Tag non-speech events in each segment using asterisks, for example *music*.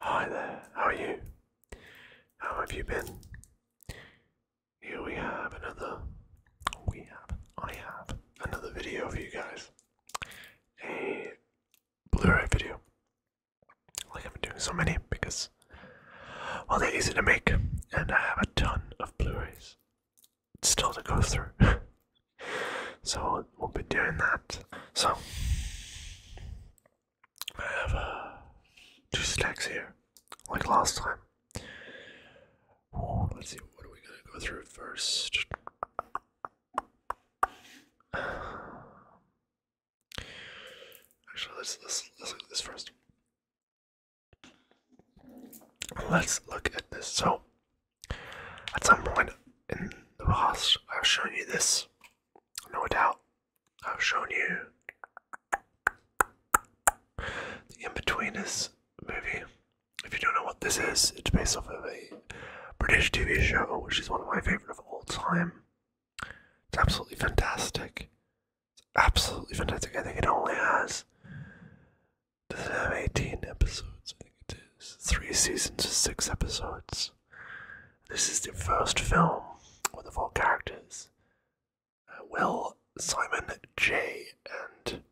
Hi there, how are you? How have you been? Here we have another. We have. I have another video for you guys. A Blu ray video. Like I've been doing so many because. Well, they're easy to make, and I have a ton of Blu rays still to go through. *laughs* so we'll, be doing that. So, I have uh, two stacks here, like last time. let's see, what are we going to go through first? Actually, let's, let's look at this first. Let's look at this. So, at some point in the past, I've shown you this no doubt, I've shown you the in-betweeners movie. If you don't know what this is, it's based off of a British TV show, which is one of my favorite of all time. It's absolutely fantastic. It's absolutely fantastic. I think it only has does it have 18 episodes? I think it is. Three seasons, six episodes. This is the first film with the four characters uh, Will, Simon, Jay, and.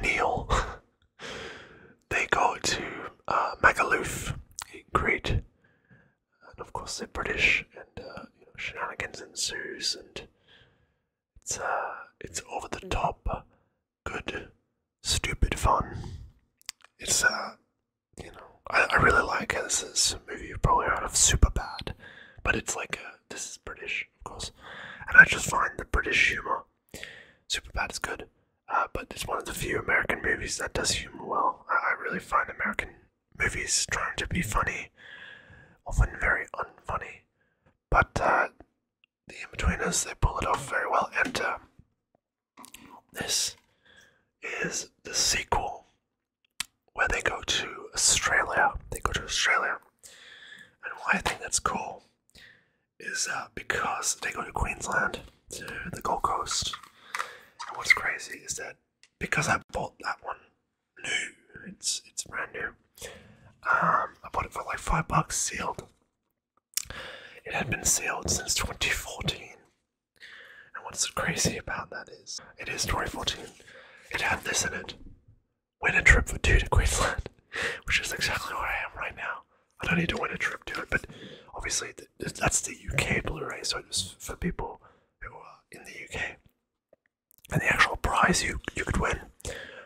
Neil. *laughs* they go to uh, Magaluf in Crete, and of course they're British, and uh, shenanigans ensues, and it's uh, it's over the top, good, stupid fun. It's uh, you know, I, I really like This movie you probably heard of, Super Bad, but it's like a, uh, this is British, of course, and I just find the British humor. Super bad is good, uh, but it's one of the few American movies that does humor well. I, I really find American movies trying to be funny often very unfunny, but uh, the in betweeners they pull it off very well. And uh, this is the sequel where they go to Australia. They go to Australia. And why I think that's cool is uh, because they go to Queensland, to the Gold Coast. And what's crazy is that because I bought that one new, it's it's brand new. Um, I bought it for like five bucks sealed. It had been sealed since 2014. And what's crazy about that is, it is 2014. It had this in it. Win a trip for two to Queensland, *laughs* which is exactly where I am right now. I don't need to win a trip to it, but obviously that's the UK Blu-ray, so it's for people who are in the UK and the actual prize you you could win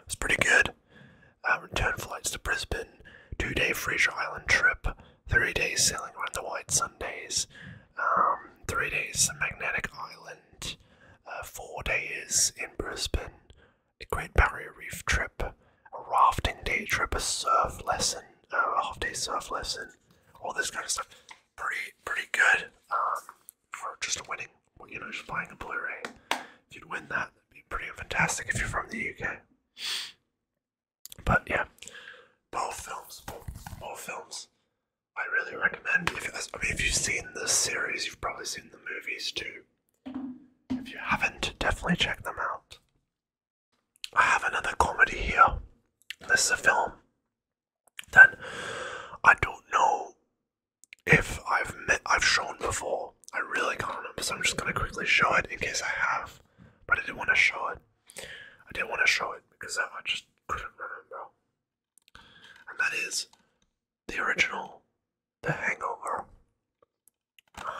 was pretty good. Uh, return flights to Brisbane, two-day Fraser Island trip, three days sailing around the White Sundays, um, three days Magnetic Island, uh, four days in Brisbane, a Great Barrier Reef trip, a rafting day trip, a surf lesson, uh, a half-day surf lesson, all this kind of stuff. Pretty, pretty good. Um, for just a winning, you know, just buying a Blu-ray. If you'd win that, that'd be pretty fantastic if you're from the UK. But yeah, both films, both, films, I really recommend. If I mean, if you've seen the series, you've probably seen the movies too. If you haven't, definitely check them out. I have another comedy here. This is a film that I don't know if I've met, I've shown before. I really can't remember, so I'm just gonna quickly show it in case I have. But I did not want to show it. I did not want to show it because I just couldn't remember. And that is the original, The Hangover.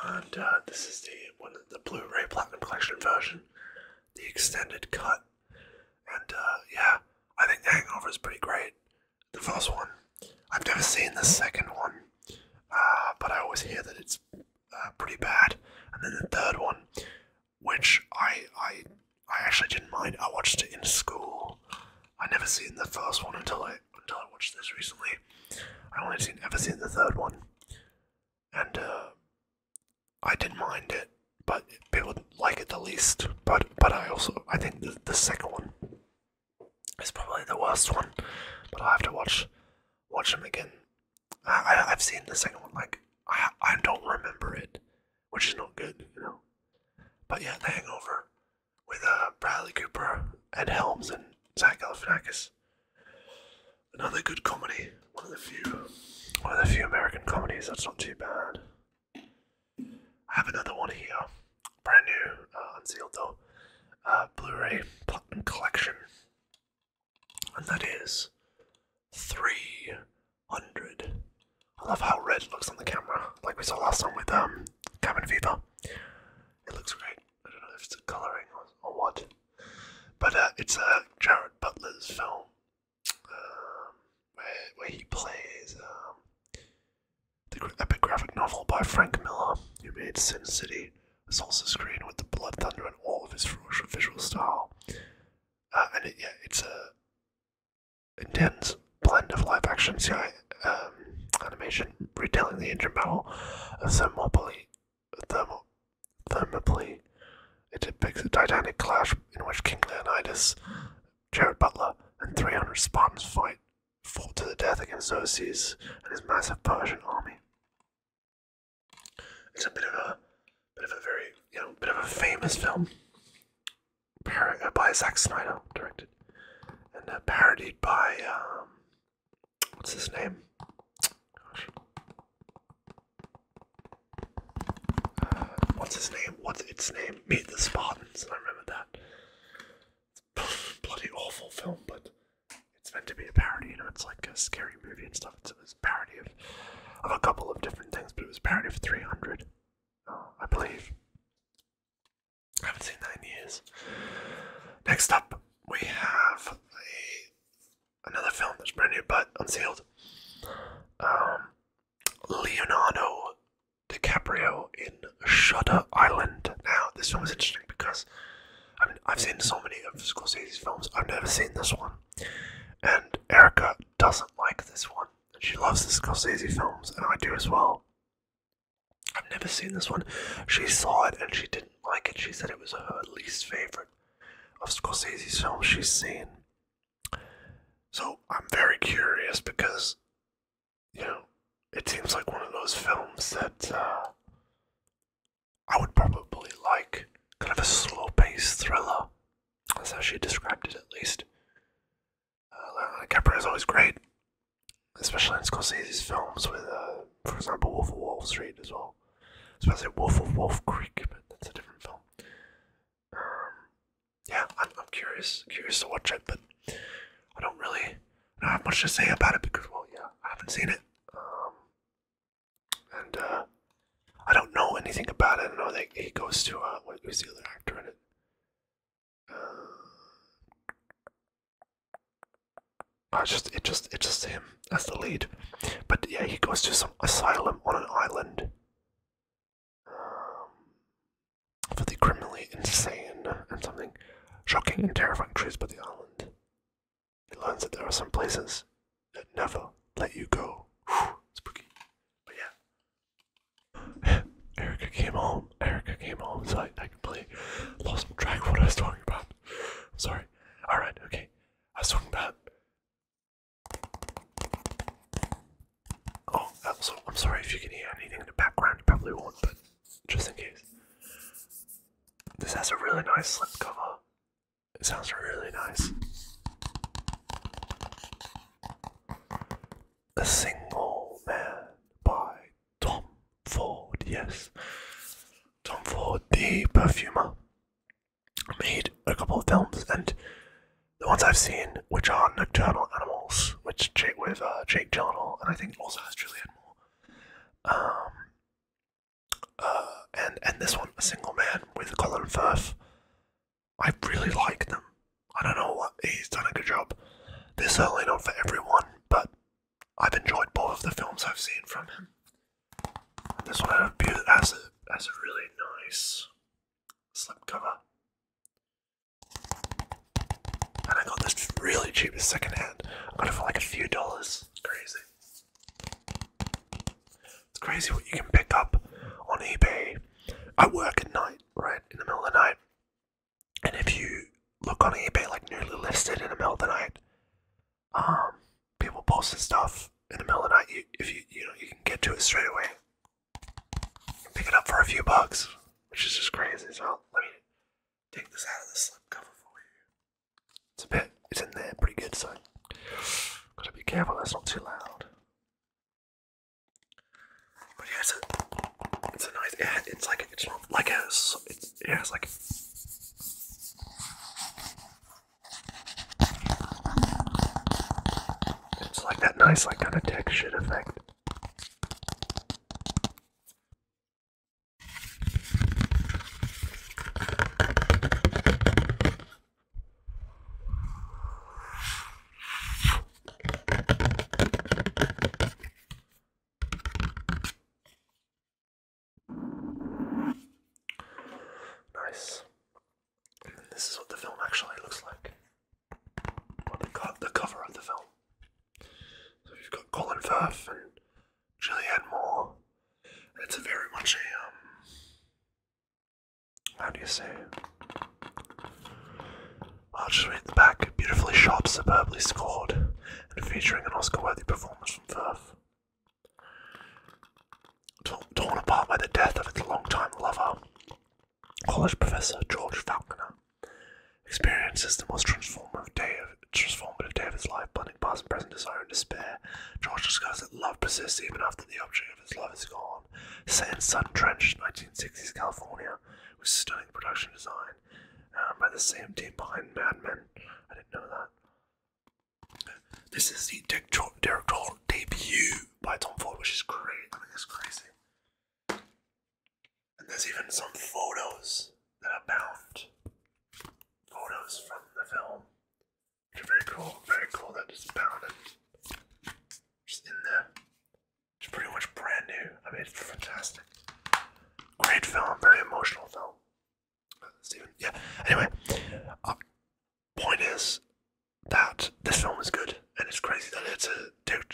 And uh, this is the one, the Blu-ray Platinum Collection version, the extended cut. And uh, yeah, I think The Hangover is pretty great the first one. I've never seen the second one, uh, but I always hear that it's uh, pretty bad. And then the third one, which I I I actually didn't mind. I watched it in school. I never seen the first one until I until I watched this recently. I only seen ever seen the third one, and uh, I didn't mind it. But people like it the least. But but I also I think the second one it's probably the worst one, but I have to watch watch them again. I, I have seen the second one like I I don't remember it, which is not good, you know. But yeah, Hangover with uh, Bradley Cooper, and Helms, and Zach Galifianakis. Another good comedy. One of the few, one of the few American comedies that's not too bad. I have another one here, brand new, uh, unsealed though, uh, Blu-ray Collection, and that is 300. I love how red looks on the camera, like we saw last time with um, Cabin Fever. It looks great. I don't know if it's a colouring or, what, but uh, it's uh, Jared Butler's film um, where, where he plays um, the epic graphic novel by Frank Miller, who made Sin City, was also screened with the Blood Thunder and all of his visual style. Uh, and it's a intense blend of live action CGI um, animation, retelling the engine battle of Thermopylae. It depicts a titanic clash in which King Leonidas, Jared Butler, and 300 Spartans fight fought to the death against Xerxes and his massive Persian army. It's a bit of a bit of a very you know bit of a famous film uh, by Zack Snyder directed and uh, parodied by um, what's his name? Gosh. Uh, what's his name? What's its name? Meet the Spartans. I remember that. It's a bloody awful film, but it's meant to be a parody. You know, it's like a scary movie and stuff. It's, a parody of, a couple of different things, but it was a parody of 300, I believe. I haven't seen that years. Next up, we have a, another film that's brand new but unsealed. Um, Leonardo DiCaprio in Shutter Island. Now, this one was interesting because I mean, I've seen so many of Scorsese's films, I've never seen this one. And Erica doesn't like this one. she loves the Scorsese films, and I do as well. I've never seen this one. She saw it and she didn't like it. She said it was her least favorite of Scorsese's films she's seen. So I'm very curious because you know, it seems like one of those films that uh, I would probably like. Kind of a slow paced thriller. That's how she described it, at least. Uh, is always great, especially in Scorsese's films, with, uh, for example, Wolf of Wall Street as well. I Wolf of Wolf Creek, but that's a different film. Um, yeah, I'm, curious, curious to watch it, but I don't really I don't have much to say about it because, well, yeah, I haven't seen it, um, and uh, I don't know anything about it. I know that he goes to uh, what was the other actor in it? Uh, I just it just it just him as the lead, but yeah, he goes to some asylum on an island. *sighs* for the criminally insane and something shocking and terrifying truths about the island. It learns that there are some places that never let you go. *sighs* spooky. But yeah. *sighs* Erica came home. Erica came home, so I, completely lost track what I was talking about. sorry. Alright, okay. I was talking about Oh, also, I'm sorry if you can hear anything in the background, you probably won't, but just in case. This has a really nice slip cover. It sounds really nice. A Single Man by Tom Ford, yes. Tom Ford, the perfumer, made a couple of films and the ones I've seen, which are Nocturnal Animals, which Jake with uh, Jake Gyllenhaal, and I think also has Julianne Moore. Um, uh, and and this one, A Single Man with Colin Firth. I really like them. I don't know what he's done a good job. They're certainly not for everyone, but I've enjoyed both of the films I've seen from him. this one had a beautiful, has a, has a really nice slipcover. And I got this really cheap secondhand. I got it for like a few dollars. crazy. It's crazy what you can pick up on eBay. I work at night, right? In the middle of the night. And if you look on eBay like newly listed in the middle of the night, um, people posting stuff in the middle of the night. if you you know you can get to it straight away. Pick it up for a few bucks, which is just crazy. So let me take this out of the slip cover for you. It's a bit, it's in there pretty good, so gotta be careful that's not too loud. But yeah, it's a, nice, it's like, it's not like a, it's, yeah, it's like, it's like that nice, like, kind of textured effect. Nice. And this is what the film actually looks like the, cover of the film. So you've got Colin Firth and Julianne Moore. it's a very much a um, how do you say? I'll just read the back. Beautifully shot, superbly scored, and featuring an Oscar-worthy performance from Firth. Torn apart by the death of its longtime lover, College professor George Falconer experiences the most transformative day of, his life, blending past and present desire and despair. George discovers that love persists even after the object of his love is gone. Set in sun-drenched 1960s California, with stunning production design, um, by the same team behind Mad Men. I didn't know that. This is the directorial debut by Tom Ford, which is great. I think it's crazy. And there's even some photos that are bound. Photos from the film. Which are very cool. Very cool that it's bound It's in there. It's pretty much brand new. I mean, it's fantastic. Great film. Very emotional film. Stephen. Yeah. Anyway, uh, point is that this film is good, and it's crazy that it's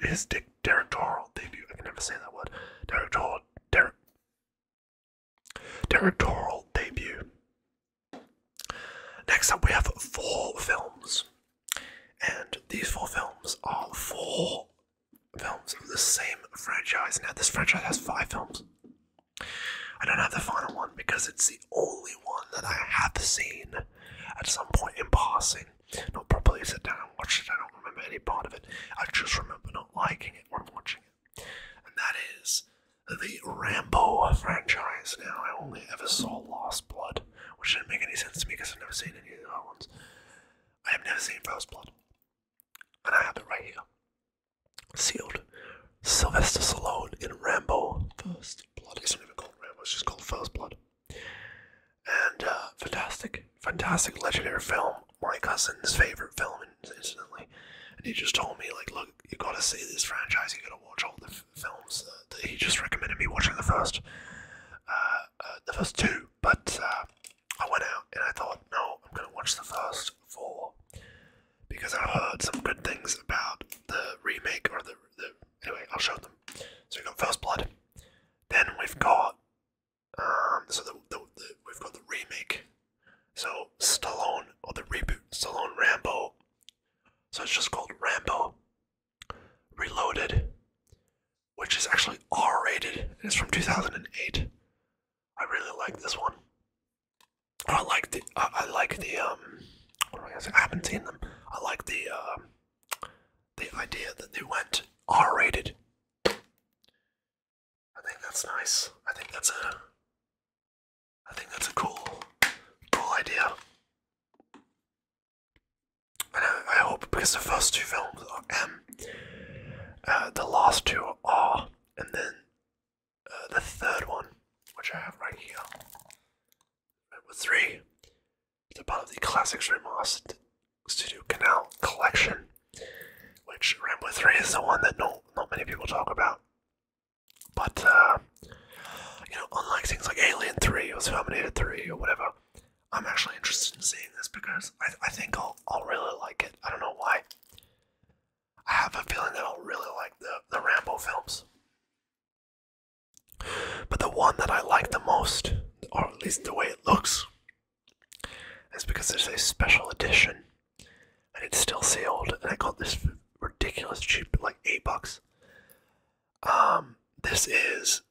his dick debut. I can never say that word. Directorial, der, directorial debut. Next up, we have four films, and these four films are four films of the same franchise. Now, this franchise has five films. I don't have the final one because it's the only one that I have seen at some point in passing not properly sit down and watch it. I don't remember any part of it. I just remember not liking it when watching it. And that is the Rambo franchise. Now, I only ever saw Lost Blood, which didn't make any sense to me because I've never seen any of the other ones. I have never seen First Blood. And I have it right here. Sealed. Sylvester Stallone in Rambo First Blood. is not even called Rambo, it's just called First Blood. And uh, fantastic, fantastic, legendary film. My cousin's favorite film, incidentally. And he just told me, like, look, you gotta see this franchise. You gotta watch all the films. he just recommended me watching the first, uh, uh, the first two. But uh, I went out and I thought, no, I'm gonna watch the first four because I heard some good things about the remake or the, the anyway. I'll show them. So we got First Blood. Then we've got um, so we've got the remake. So Stallone or the reboot Stallone Rambo. So it's just called Rambo Reloaded, which is actually R-rated. It's from 2008. I really like this one. I like the I, like the um. What am I saying? I haven't seen them. I like the um the idea that they went R rated. I think that's nice. I think that's a I think that's a cool cool idea. And I, hope because the first two films are M, um, uh, the last two are R, and then uh, the third one, which I have right here, number three, it's part of the Classics Ramos Studio Canal collection, which Rambo 3 is the one that not, not many people talk about. But, uh, you know, unlike things like Alien 3 or Terminator 3 or whatever, I'm actually interested in seeing this because I, I think I'll, I'll really like it. I don't know why. I have a feeling that I'll really like the, the Rambo films. But the one that I like the most, or at least the way it looks, is because there's a special edition and it's still sealed. And I got this ridiculous cheap, like eight bucks. Um, this is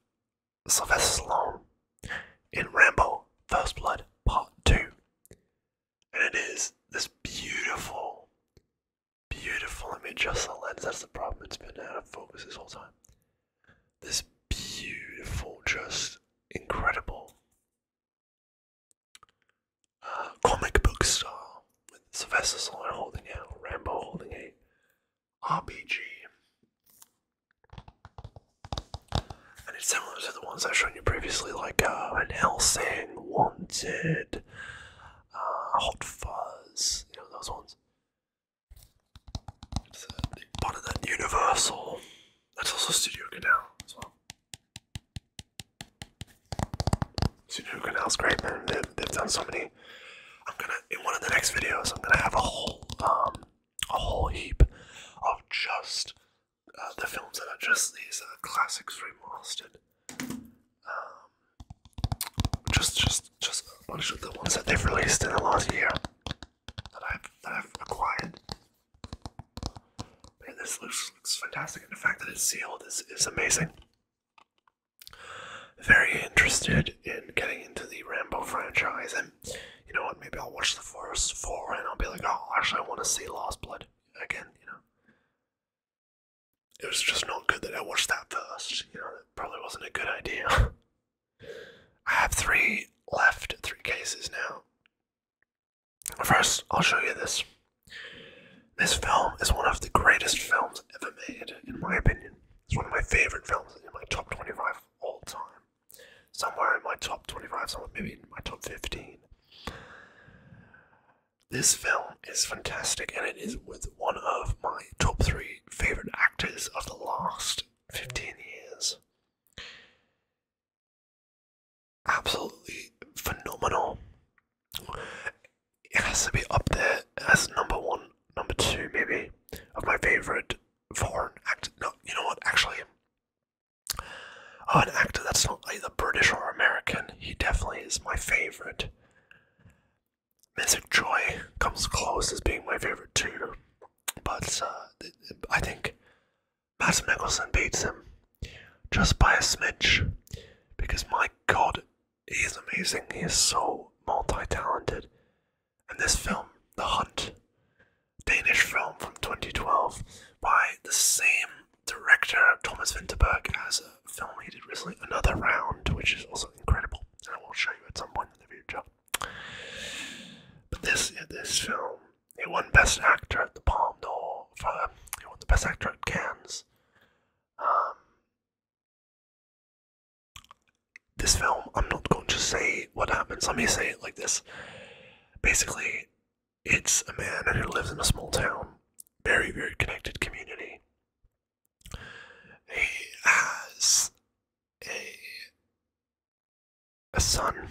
Sylvester Stallone in Rambo First Blood Part 2. And it is this beautiful, beautiful image. Just the lens, that's the problem. It's been out of focus this whole time. This beautiful, just incredible uh, comic book star, Sylvester holding out, Rambo holding a RPG. And it's similar to the ones I've shown you previously, like uh, Van Helsing, Wanted, uh, Hot Fuzz, you know, those ones part of that Universal. That's also Studio Canal as well. Studio Canal's great, man. They've, done so many. I'm gonna in one of the next videos. I'm gonna have a whole um a whole heap of just uh, the films that are just these uh, classics remastered. Um, just just just a bunch of the ones that they've released in the last year that I've that I've acquired. Man, this looks looks fantastic, and the fact that it's sealed is is amazing. Very interested in getting into the Rambo franchise, and you know what? Maybe I'll watch the first four, and I'll be like, oh, actually, I want to see Lost Blood again. You know, it was just not good that I watched that first. You know, probably wasn't a good idea. *laughs* I have three left, three cases now. First, I'll show you this. This film is one of the greatest films ever made, in my opinion. It's one of my favorite films in my top 25 all time. Somewhere in my top 25, somewhere maybe in my top 15. This film is fantastic and it is with one of my top three favorite actors of the last 15 years. Absolutely phenomenal. It has to be up there as number one, number two, maybe, of my favorite foreign actor. No, you know what? Actually, oh, an actor that's not either British or American. He definitely is my favorite. Mystic Joy comes close as being my favorite too, but uh, I think Mads Mikkelsen beats him just by a smidge because my god, he is amazing. He is so multi talented. And this film, The Hunt, Danish film from 2012 by the same director, Thomas Vinterberg, as a film he did recently, Another Round, which is also incredible. I will show you at some point in the future. But this yeah, this film, it won Best Actor at the Palm d'Or for it won the Best Actor at Cannes. Um, this film, I'm not going to say what happens. Let me say it like this. Basically, it's a man who lives in a small town, very very connected community, he has a, a son.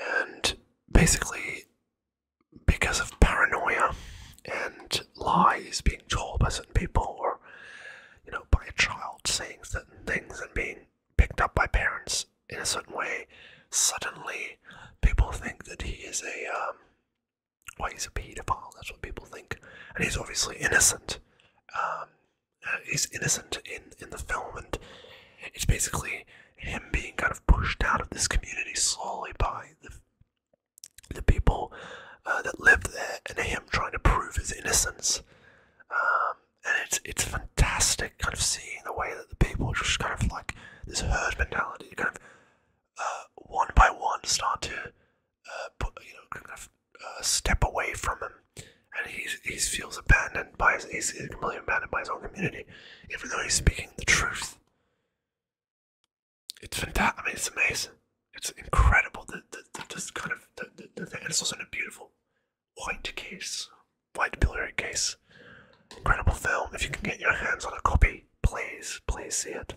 And basically, because of paranoia and lies being told by some people, or you know, by a child saying certain things and being picked up by parents in a certain way, suddenly people think that he is a um, well, he's a pedophile, that's what people think. And he's obviously innocent. Um, uh, he's innocent in, in the film, and it's basically him being kind of pushed out of this community slowly by the, the people uh, that live there and him trying to prove his innocence. Um, and it's, it's fantastic kind of seeing the way that the people just kind of like this herd mentality kind of uh, one by one start to uh, you know, uh, step away from him, and he he feels abandoned by his he's completely abandoned by his own community, even though he's speaking the truth. It's fantastic. I mean, it's amazing. It's incredible. The, the, the kind of the, the, it's also in a beautiful white case, white blu case. Incredible film. If you can get your hands on a copy, please, please see it.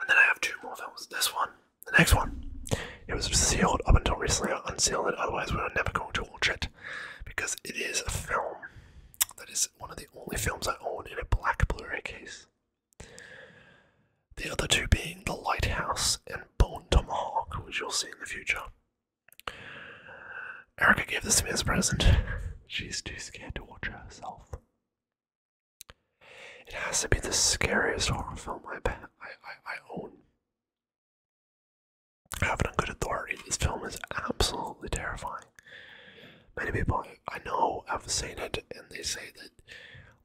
And then I have two more films. This one, the next one. It was sealed up until recently. I unsealed it, otherwise we were never going to watch it. Because it is a film that is one of the only films I own in a black Blu-ray case. The other two being The Lighthouse and Bone Tomahawk, which you'll see in the future. Erica gave this to me as a present. *laughs* She's too scared to watch herself. It has to be the scariest horror film I, I, I, own. I have it good authority. This film is absolutely terrifying. Many people I know have seen it, and they say that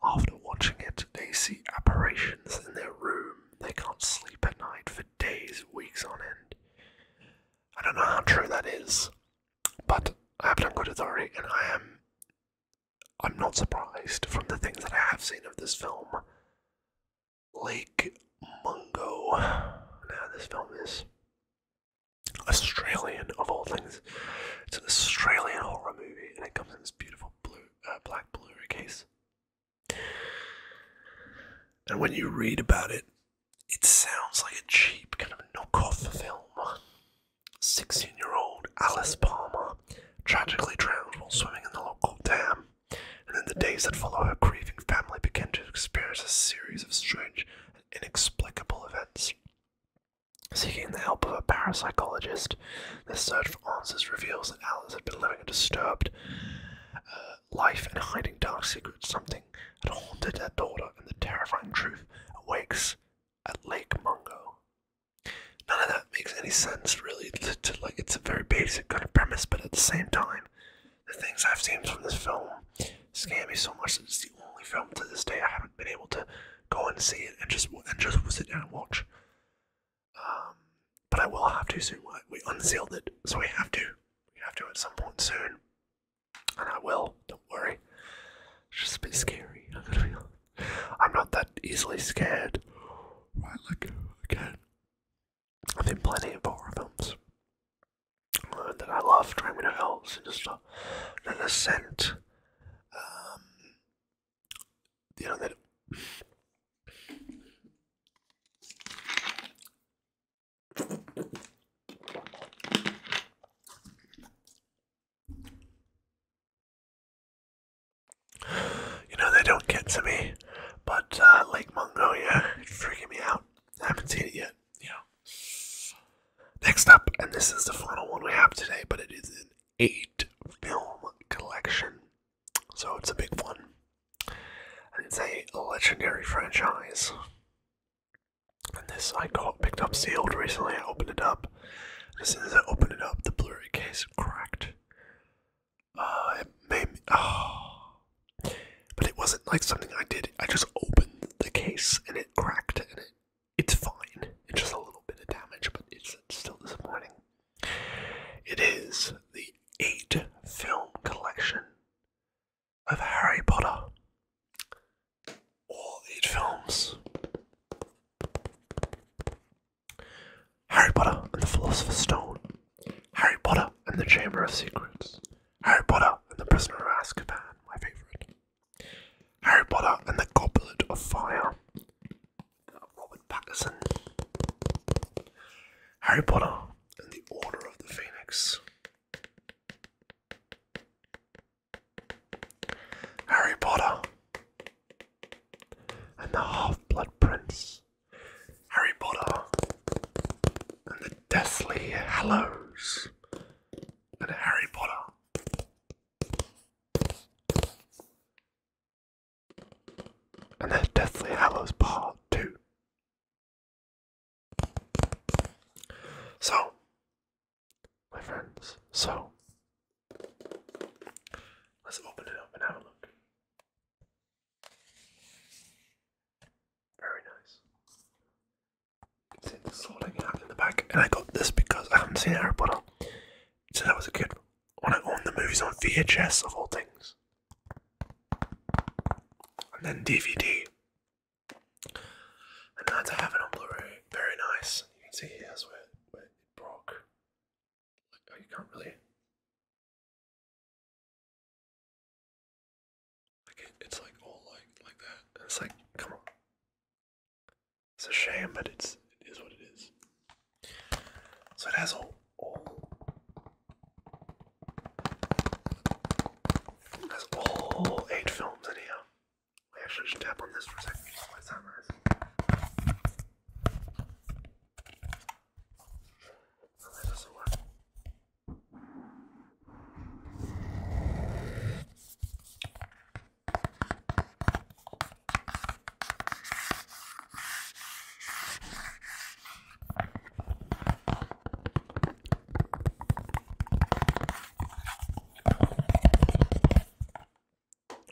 after watching it, they see apparitions in their room. They can't sleep at night for days, weeks on end. I don't know how true that is. But I have it on good authority, and I am. I'm not surprised from the things that I have seen of this film. Lake Mungo. Now, this film is Australian, of all things. It's an Australian horror movie, and it comes in this beautiful blue, uh, black blue case. And when you read about it, it sounds like a cheap kind of knockoff film. 16 year old Alice Palmer tragically drowned while swimming in the local dam, and in the days that follow, her grieving family began to experience a series of strange and inexplicable events. Seeking the help of a parapsychologist, their search for answers reveals that Alice had been living a disturbed uh, life and hiding dark secrets, something had haunted their daughter, and the terrifying truth awakes at Lake Mungo. None of that makes any sense, really. To, like, it's a very basic kind of premise, but at the same time, the things I've seen from this film scare me so much that it's the only film to this day I haven't been able to go and see it and just and just sit down and watch. Um, but I will have to soon. We unsealed it, so we have to. We have to at some point soon and I will. Don't worry. It's just a bit scary. I'm not that easily scared. Right, like again, I've been plenty of horror films uh, that I love. Driving to Hell's and just uh, an ascent. Um, you know that. You know, they don't get to me, but uh, Lake Mongolia it's freaking me out. I haven't seen it yet. Yeah. Next up, and this is the final one we have today, but it is an eight film collection. So it's a big one. And it's a legendary franchise. And this I got picked up sealed recently. I opened it up. As soon as I opened it up, the Blu-ray case cracked. Uh, ah. But it wasn't like something I did. I just opened the case and it cracked, and it, it's fine. It's just a little bit of damage, but it's, it's still disappointing. It is the eight film collection of Harry Potter. All eight films. Harry Potter and the Philosopher's Stone. Harry Potter and the Chamber of Secrets. Harry Potter and the Prisoner of Azkaban, my favourite. Harry Potter and the Goblet of Fire. Robert Pattinson. Harry Potter and the Order of the Phoenix. Harry Potter and the Half-Blood Prince. Harry Potter and the Deathly Hallows. And Harry Potter. And the Deathly Hallows Part 2. So, my friends, so let's open it up and have a look. Very nice. See, this is all in the back, and I got this because I haven't seen Harry Potter since I was a kid. When I owned the movies on VHS of all things, and then DVD and now to have it on Blu-ray, very nice. You can see here's where, where it broke. Oh, you can't really. Like it's like all like like that. it's like, come on. It's a shame, but it's it is what it is. So it has all has all eight films in here. I should just tap on this for a second just so it's not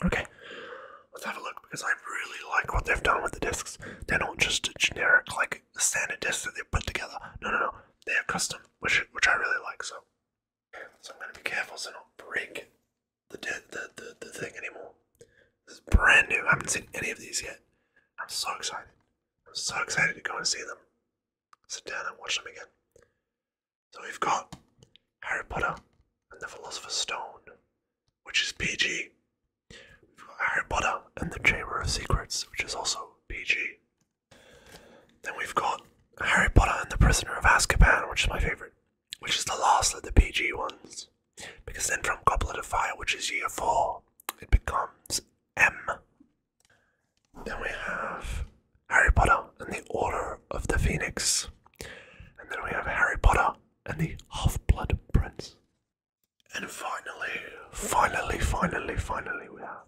Okay, let's have a look because I really like what they've done with the discs. They're not just generic, like, standard discs that they put together. No, no, no. They are custom, which which I really like. So, so I'm gonna be careful so not break the the, the thing anymore. This is brand new. I haven't seen any of these yet. I'm so excited. I'm so excited to go and see them sit down and watch them again. So we've got Harry Potter and the Philosopher's Stone, which is PG. We've got Harry Potter and the Chamber of Secrets, which is also PG. Then we've got Harry Potter and the Prisoner of Azkaban, which is my favourite, which is the last of the PG ones. Because then from Goblet of Fire, which is year 4, it becomes M then we have Harry Potter and the Order of the Phoenix. And then we have Harry Potter and the Half Blood Prince. And finally, finally, finally, finally, we have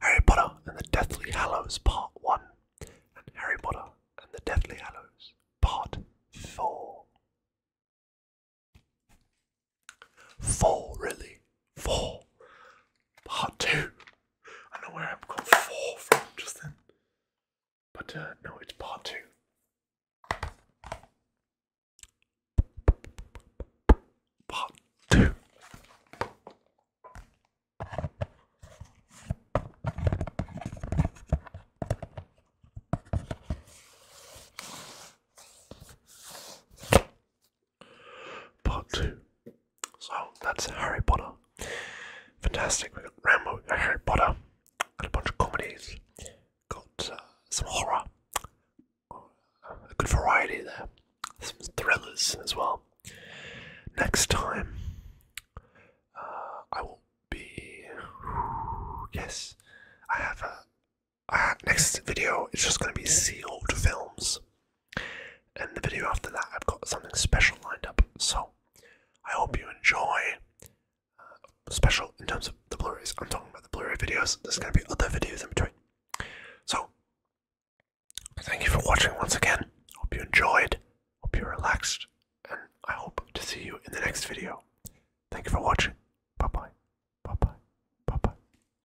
Harry Potter and the Deathly Hallows Part 1 and Harry Potter and the Deathly Hallows Part 4. Four, really. Four. Part two. I know where I've got four from just then. But uh, no, it's part two. Part two part two. So that's Harry Potter. Fantastic. We got Rambo, Harry Potter, got a bunch of comedies, got uh, some horror, a good variety there, some thrillers as well. Next time, uh, I will be. *sighs* Yes, I have a Ah, next video is just going to be sealed films. And the video after that, I've got something special lined up. So I hope you enjoy. Uh, special in terms of the Blu-rays. I'm talking about the Blu-ray videos. There's going to be other videos in between. So thank you for watching once again. Hope you enjoyed. Hope you relaxed. And I hope to see you in the next video. Thank you for watching. Bye bye. Bye bye. Bye bye.